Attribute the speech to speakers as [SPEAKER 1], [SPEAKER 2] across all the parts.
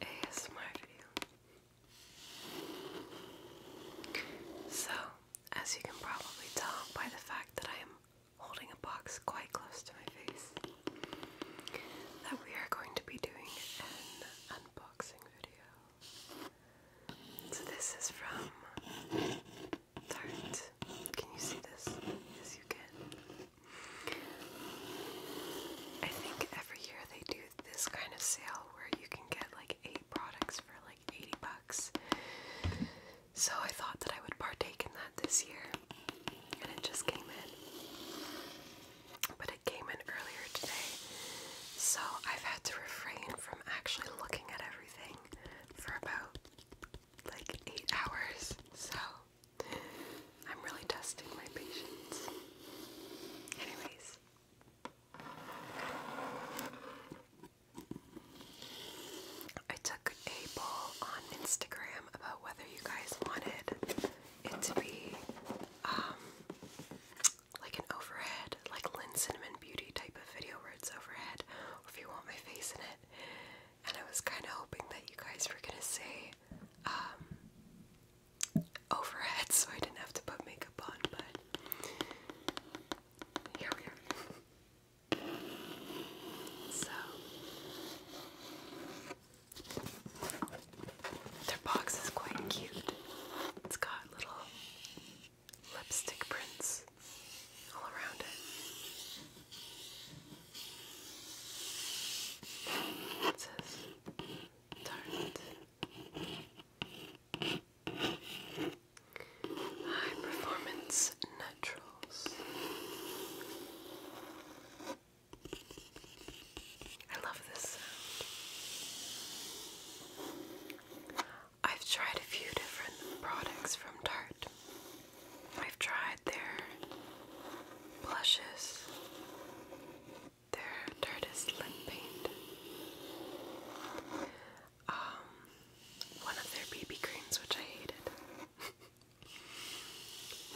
[SPEAKER 1] ASMR So, as you can probably tell by the fact that I am holding a box quite close to my face, that we are going to be doing an unboxing video. So this is from Tarte. Can you see this? Yes, you can. I think every year they do this kind of sale where you can get like eight products for like 80 bucks. So I thought that I would partake in that this year, and it just came in. But it came in earlier today, so I've had to refrain from actually looking at everything for about like eight hours. So I'm really testing my patience. Anyways. I took a poll on Instagram about whether you guys wanted it to be um, like an overhead, like Lynn Cinnamon Beauty type of video where it's overhead, or if you want my face in it and I was kind of hoping that you guys were gonna say um, overhead so I didn't have to put makeup on, but here we are. so, their box is quite cute. It's got little lipstick prints all around it. It says do High performance naturals. I love this sound. I've tried a few different products from Tarte, I've tried their blushes, their Dirtest Lip Paint, um, one of their BB creams, which I hated.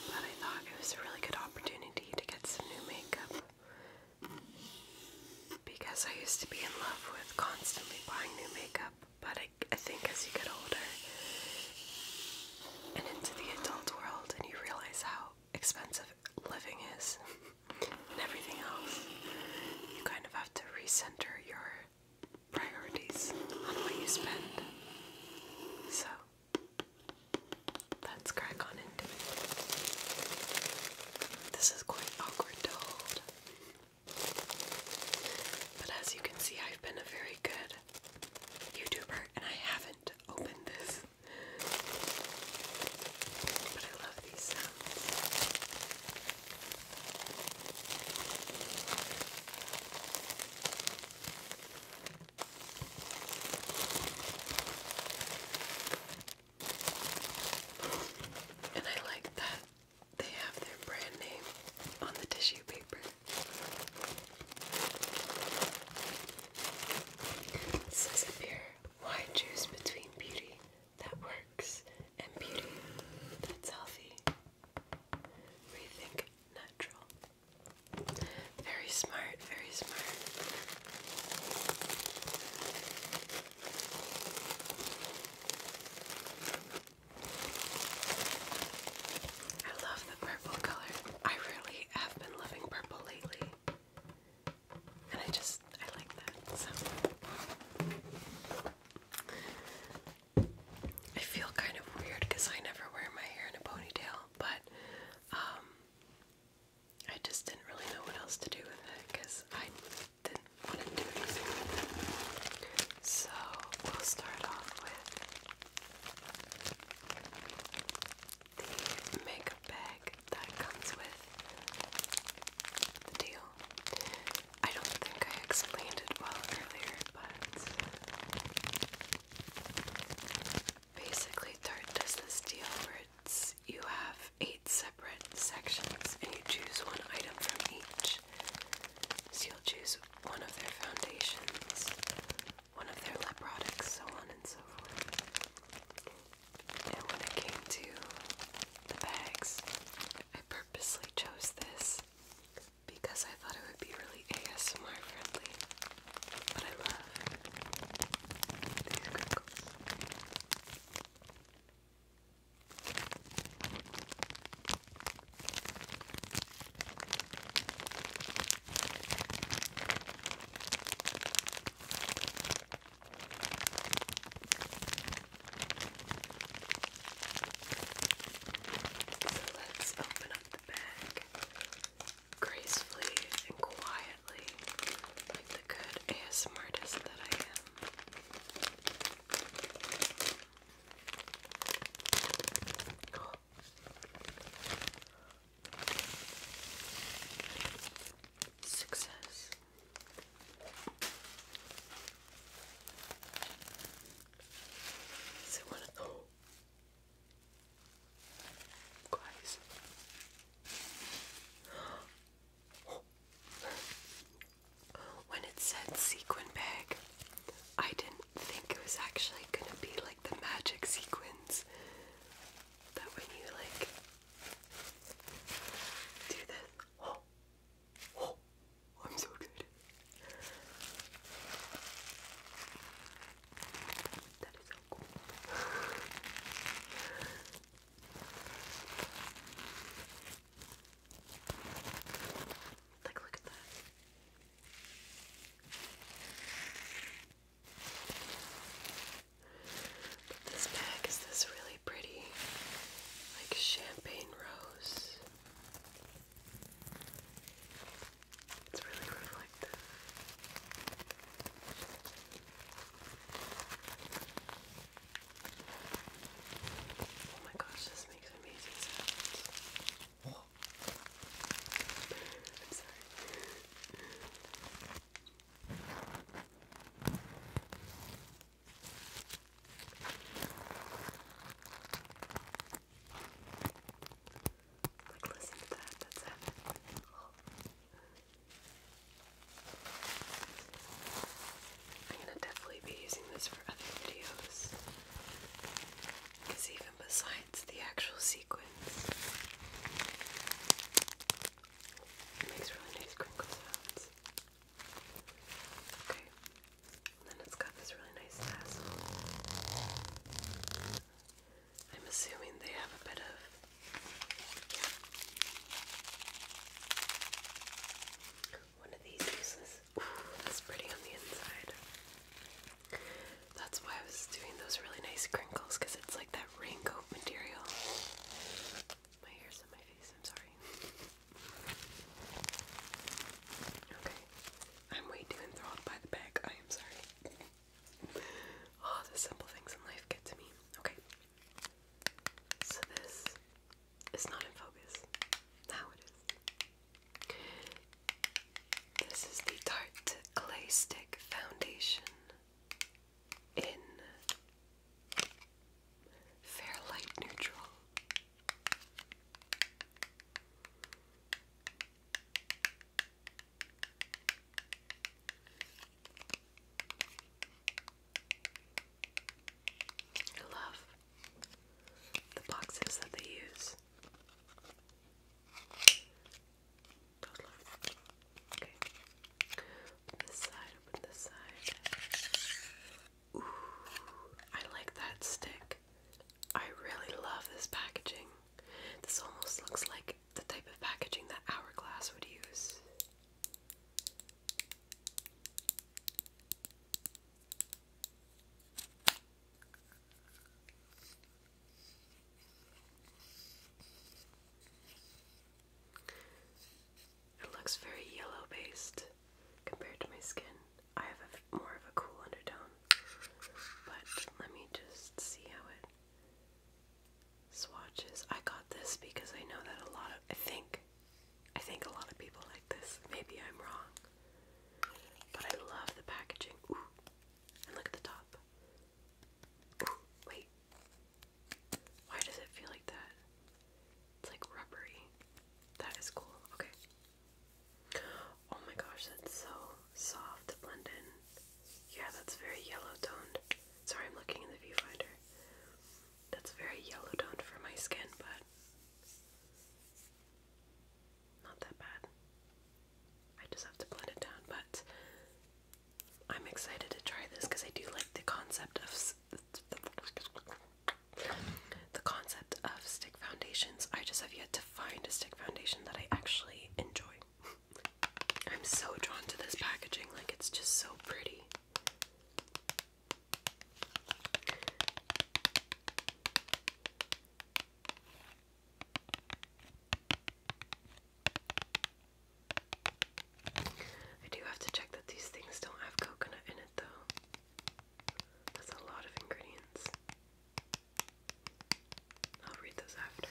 [SPEAKER 1] but I thought it was a really good opportunity to get some new makeup because I used to be in love with constantly buying new makeup, but I think as you get older and into the adult world and you realize how expensive living is and everything else, you kind of have to recenter your priorities on what you spend. So let's on into it. This is quite awkward to hold. But as you can see, I've been a very good YouTuber, and I haven't opened this. But I love these sounds. And I like that they have their brand name on the tissue paper. This is a choose between beauty that works and beauty that's healthy? Rethink natural. Very smart, very smart. I love the purple color. I really have been loving purple lately. And I just, I like that. So. I feel kind of weird because I never wear my hair in a ponytail, but um, I just didn't really know what else to do with it because I didn't want to do anything with it. So we'll start off with the makeup bag that comes with the deal. I don't think I explained it well earlier, but basically, Tarte does this deal where it's you have eight separate sections and you choose one item from each each. So you'll choose one of their foundations, one of their lip products, so on and so forth. And when it came to the bags, I purposely chose this because I thought it would be really ASMR friendly. But I love these crinkles. Let's open up the bag gracefully and quietly, like the good ASMRtist that I am. Success. Is it one of those guys? When it said sequin bag, I didn't think it was actually gonna be like the magic sequence that when you like do this. Oh, oh, I'm so good. That is so cool. like, look at that this bag is this really pretty, like champagne rose. It's really reflective. Oh my gosh, this makes amazing sounds. Oh. I'm sorry. I'm gonna definitely be using this for other videos. Because even besides the actual sequence, it makes really nice crinkle Okay, and then it's got this really nice I'm assuming they have a bit of. One of these uses. Ooh, that's pretty on the inside. That's why I was doing those really nice crinkles because it's like that raincoat material. My hair's on my face, I'm sorry. Okay. I'm way too enthralled by the bag. I am sorry. Oh, the simple things in life get to me. Okay. So this it's not in focus. Now it is. This is the Tarte Clay Stick Foundation in Fair Light Neutral. I love the boxes that they use. Okay. this side, open this side. Ooh, I like that stick. I really love this packaging. This almost looks like the type of packaging that Hourglass would use. It looks very yellow based compared to my skin. I have a, more of a cool undertone. But let me just see how it swatches. I got this because I know that a lot of I think I think a lot of people like this. Maybe I'm wrong. But I love the packaging. Ooh. And look at the top. Ooh, wait. Why does it feel like that? It's like rubbery. That is cool. Okay. Oh my gosh, that's so soft blend in. Yeah, that's very yellow toned. Sorry, I'm looking in the viewfinder. That's very yellow toned for my skin, but not that bad. I just have to blend it down, but I'm excited to try this because I do like the concept of the concept of stick foundations. I just have yet to find a stick foundation that I actually enjoy. I'm so drawn to this packaging, like it's just so pretty. I do have to check that these things don't have coconut in it, though. That's a lot of ingredients. I'll read those after.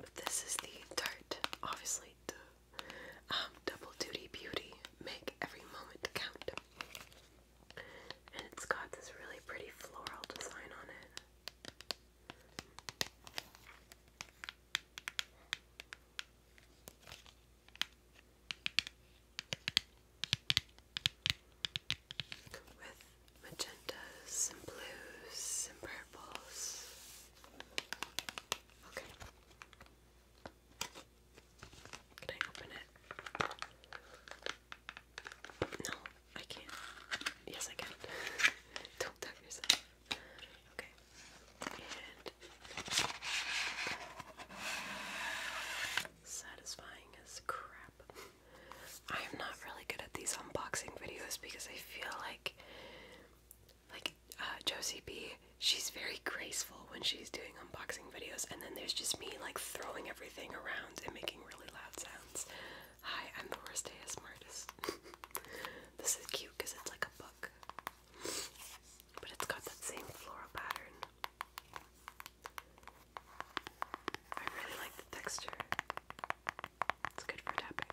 [SPEAKER 1] But this is the tart, obviously, um, double duty beauty, make every moment count. And it's got this really pretty floral design on it. With magentas and blues and purples. Okay. Can I open it? No, I can't. Yes, I can. Don't tug yourself. Okay. And satisfying as crap. I am not really good at these unboxing videos because I feel like like uh, Josie B, she's very graceful when she's doing unboxing videos, and then there's just me like throwing everything around and making really loud sounds. Hi, I'm the worst ASMR this is cute because it's like a book, but it's got that same floral pattern. I really like the texture. It's good for tapping.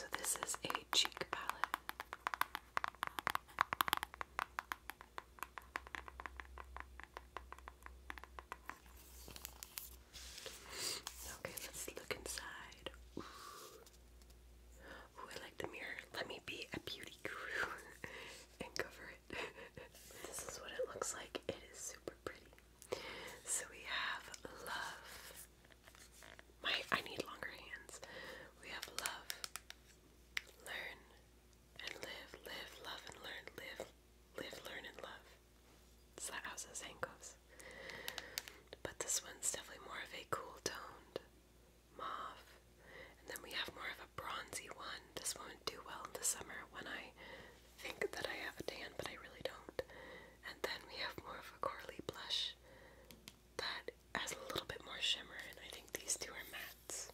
[SPEAKER 1] So this is a cheek palette. Okay, let's look inside. Ooh. I like the mirror. Let me be a beauty guru and cover it. this is what it looks like. It is super pretty. So we have love, my I need longer hands. We have love. Learn and live, live, love and learn, live, live, learn and love. It's that house as goes. But this one's definitely more of a cool toned mauve. And then we have more of a bronzy one. This one would do well in the summer when I think that I have a tan, but I really don't. And then we have more of a corally blush that has a little bit more shimmer, and I think these two are mattes.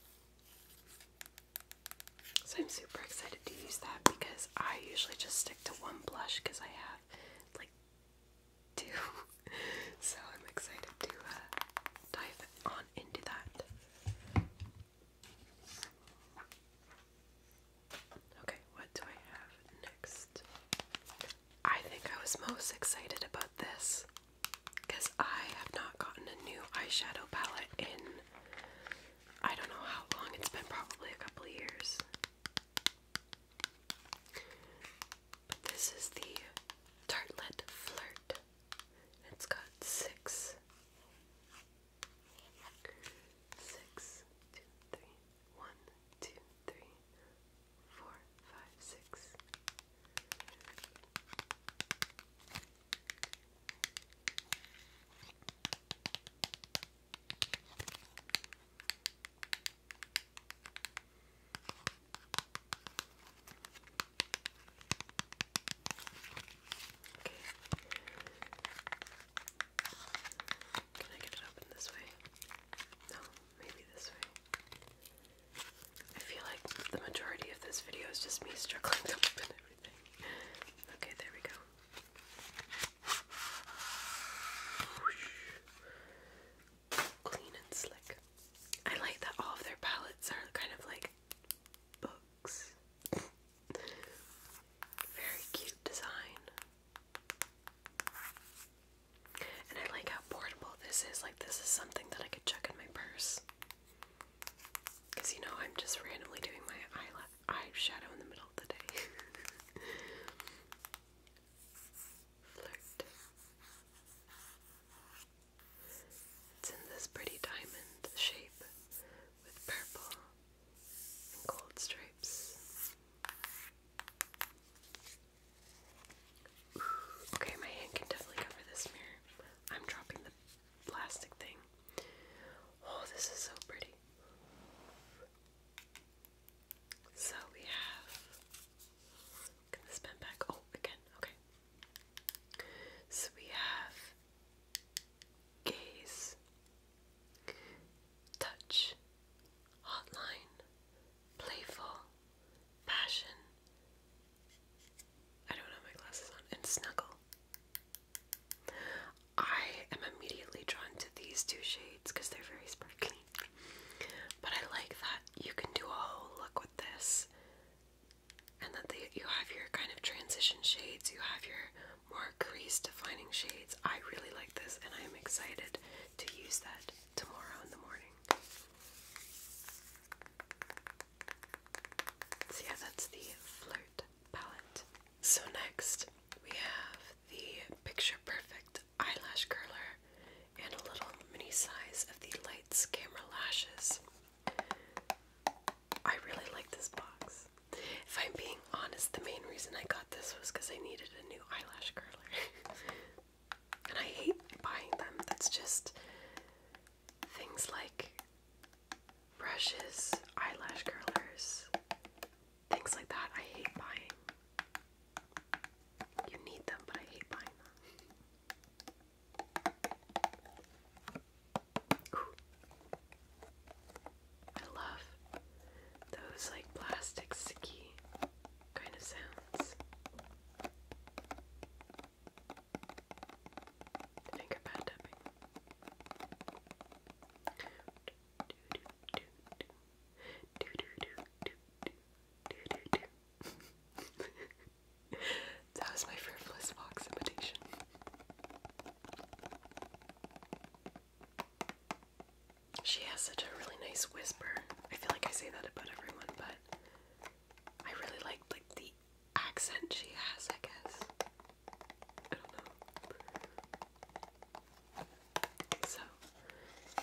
[SPEAKER 1] So I'm super excited to use that because I usually just stick to one blush because I have like two. so I'm excited to uh, dive on into that. Okay, what do I have next? I think I was most excited about this because I have not gotten a new eyeshadow palette in I don't know how long it's been, probably a couple years. But this is the Tartlet Flirt. It's got six. Six, two, three, four, five, six. Okay. Can I get it open this way? No, maybe this way. I feel like the majority of this video is just me struggling to open everything. Okay, there we go. Clean and slick. I like that all of their palettes are kind of like books. Very cute design. And I like how portable this is. Like, this is something that I could chuck in my purse. Because, you know, I'm just randomly doing my eye eyeshadow in the middle of the day. It's in this pretty diamond shape with purple and gold stripes. Okay, my hand can definitely cover this mirror. I'm dropping the plastic thing. Oh, this is so pretty. So we have. Can this bend back? Oh, again. Okay. So we have gaze, touch, hotline, playful, passion. I don't have my glasses on, and snuggle. I am immediately drawn to these two shades because they're very sparkly. But I like that you can do a whole look with this, and that they, you have your kind of transition shades, you have your more crease defining shades. I really like this, and I am excited to use that tomorrow in the morning. So, yeah, that's the Flirt palette. So, next we have the Picture Perfect Eyelash Curler and a little mini size of the Lights Camera Lashes. I really like this box. If I'm being honest, the main reason I got this was because I needed a new eyelash curler. and I hate buying them. That's just things like brushes, eyelash curlers, things like that. I hate buying. You need them, but I hate buying them. I love those like plastic sticky kind of sounds. Finger pad that was my frivolous fox imitation. She has such a really nice whisper. I feel like I say that about everyone, but I really like like the accent she has, I guess. So,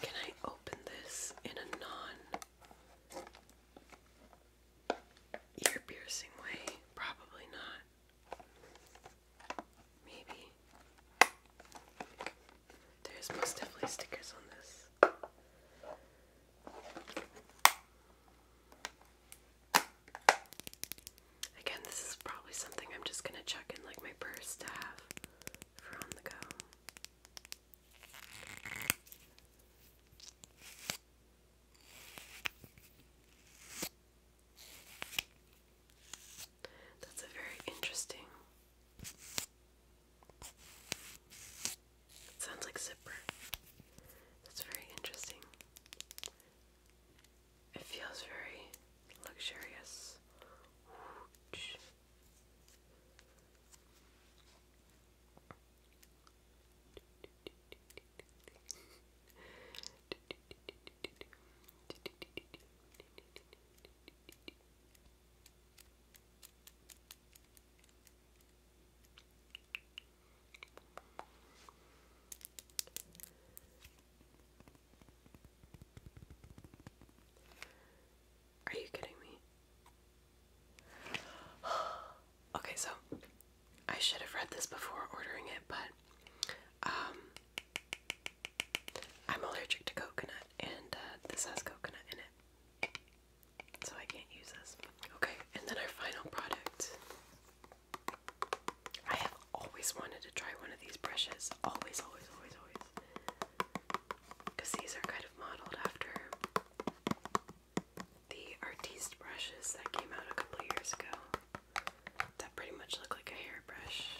[SPEAKER 1] can I open this in a non ear piercing way? Probably not. Maybe. There's most definitely stickers on this. Again, this is probably something I'm just gonna check in like my purse to have for on the go. That's a very interesting. sounds like zipper. That's very interesting. It feels very luxurious. Are you kidding me? okay, so I should have read this before ordering it, but um, I'm allergic to coconut, and uh, this has coconut in it, so I can't use this. Okay, and then our final product. I have always wanted to try one of these brushes. Always, always, always, always. Because these are kind of modeled after the Artiste brushes that came out a couple years ago. That pretty much look like a hairbrush.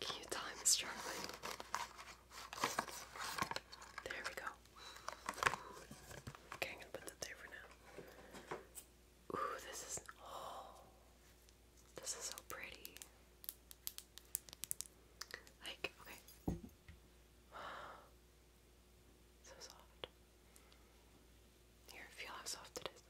[SPEAKER 1] Can you tell I'm There we go. Okay, I'm gonna put that there for now. Ooh, this is oh, this is so pretty. Like, okay, so soft. Here, feel how soft it is.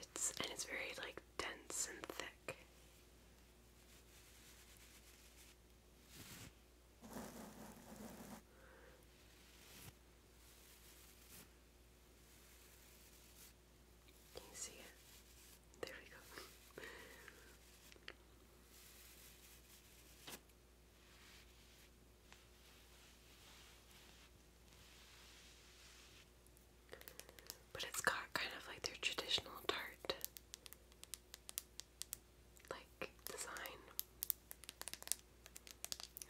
[SPEAKER 1] It's and it's very like dense and thick. Can you see it? There we go. But it's got kind of like their traditional tart like design.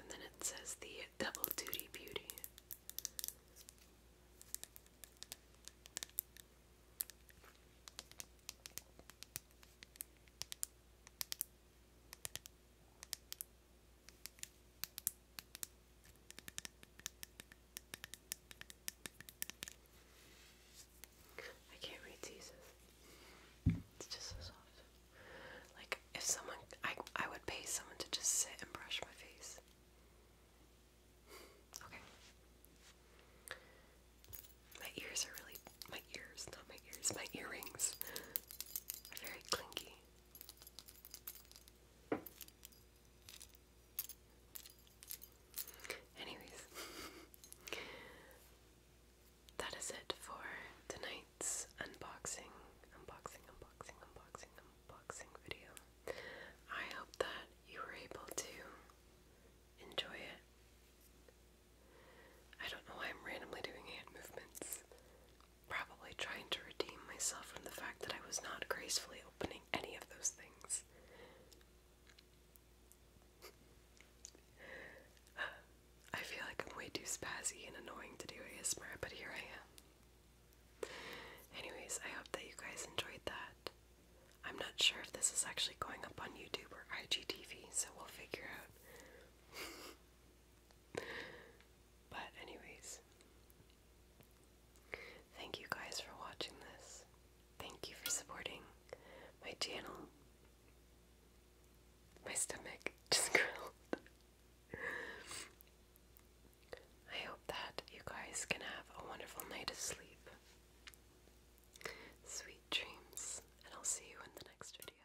[SPEAKER 1] And then it says the double duty beauty. I can't read teases. It's just so soft. Like if someone I I would pay someone to just sit and brush my face. Okay. My ears are really my ears, not my ears, my earrings are very clinky. Anyways, that is it for tonight's unboxing, unboxing, unboxing, unboxing, unboxing video. I hope that you were able to enjoy it. I don't know why I'm randomly doing hand movements probably trying to redeem myself from the fact that I was not gracefully opening any of those things. I feel like I'm way too spazzy and annoying to do ASMR, but here I am. Anyways, I hope that you guys enjoyed that. I'm not sure if this is actually going up on YouTube or IGTV, so we'll figure out. But, anyways, thank you guys for watching this. Thank you for supporting my channel. My stomach just grilled. I hope that you guys can have a wonderful night of sleep. Sweet dreams, and I'll see you in the next video.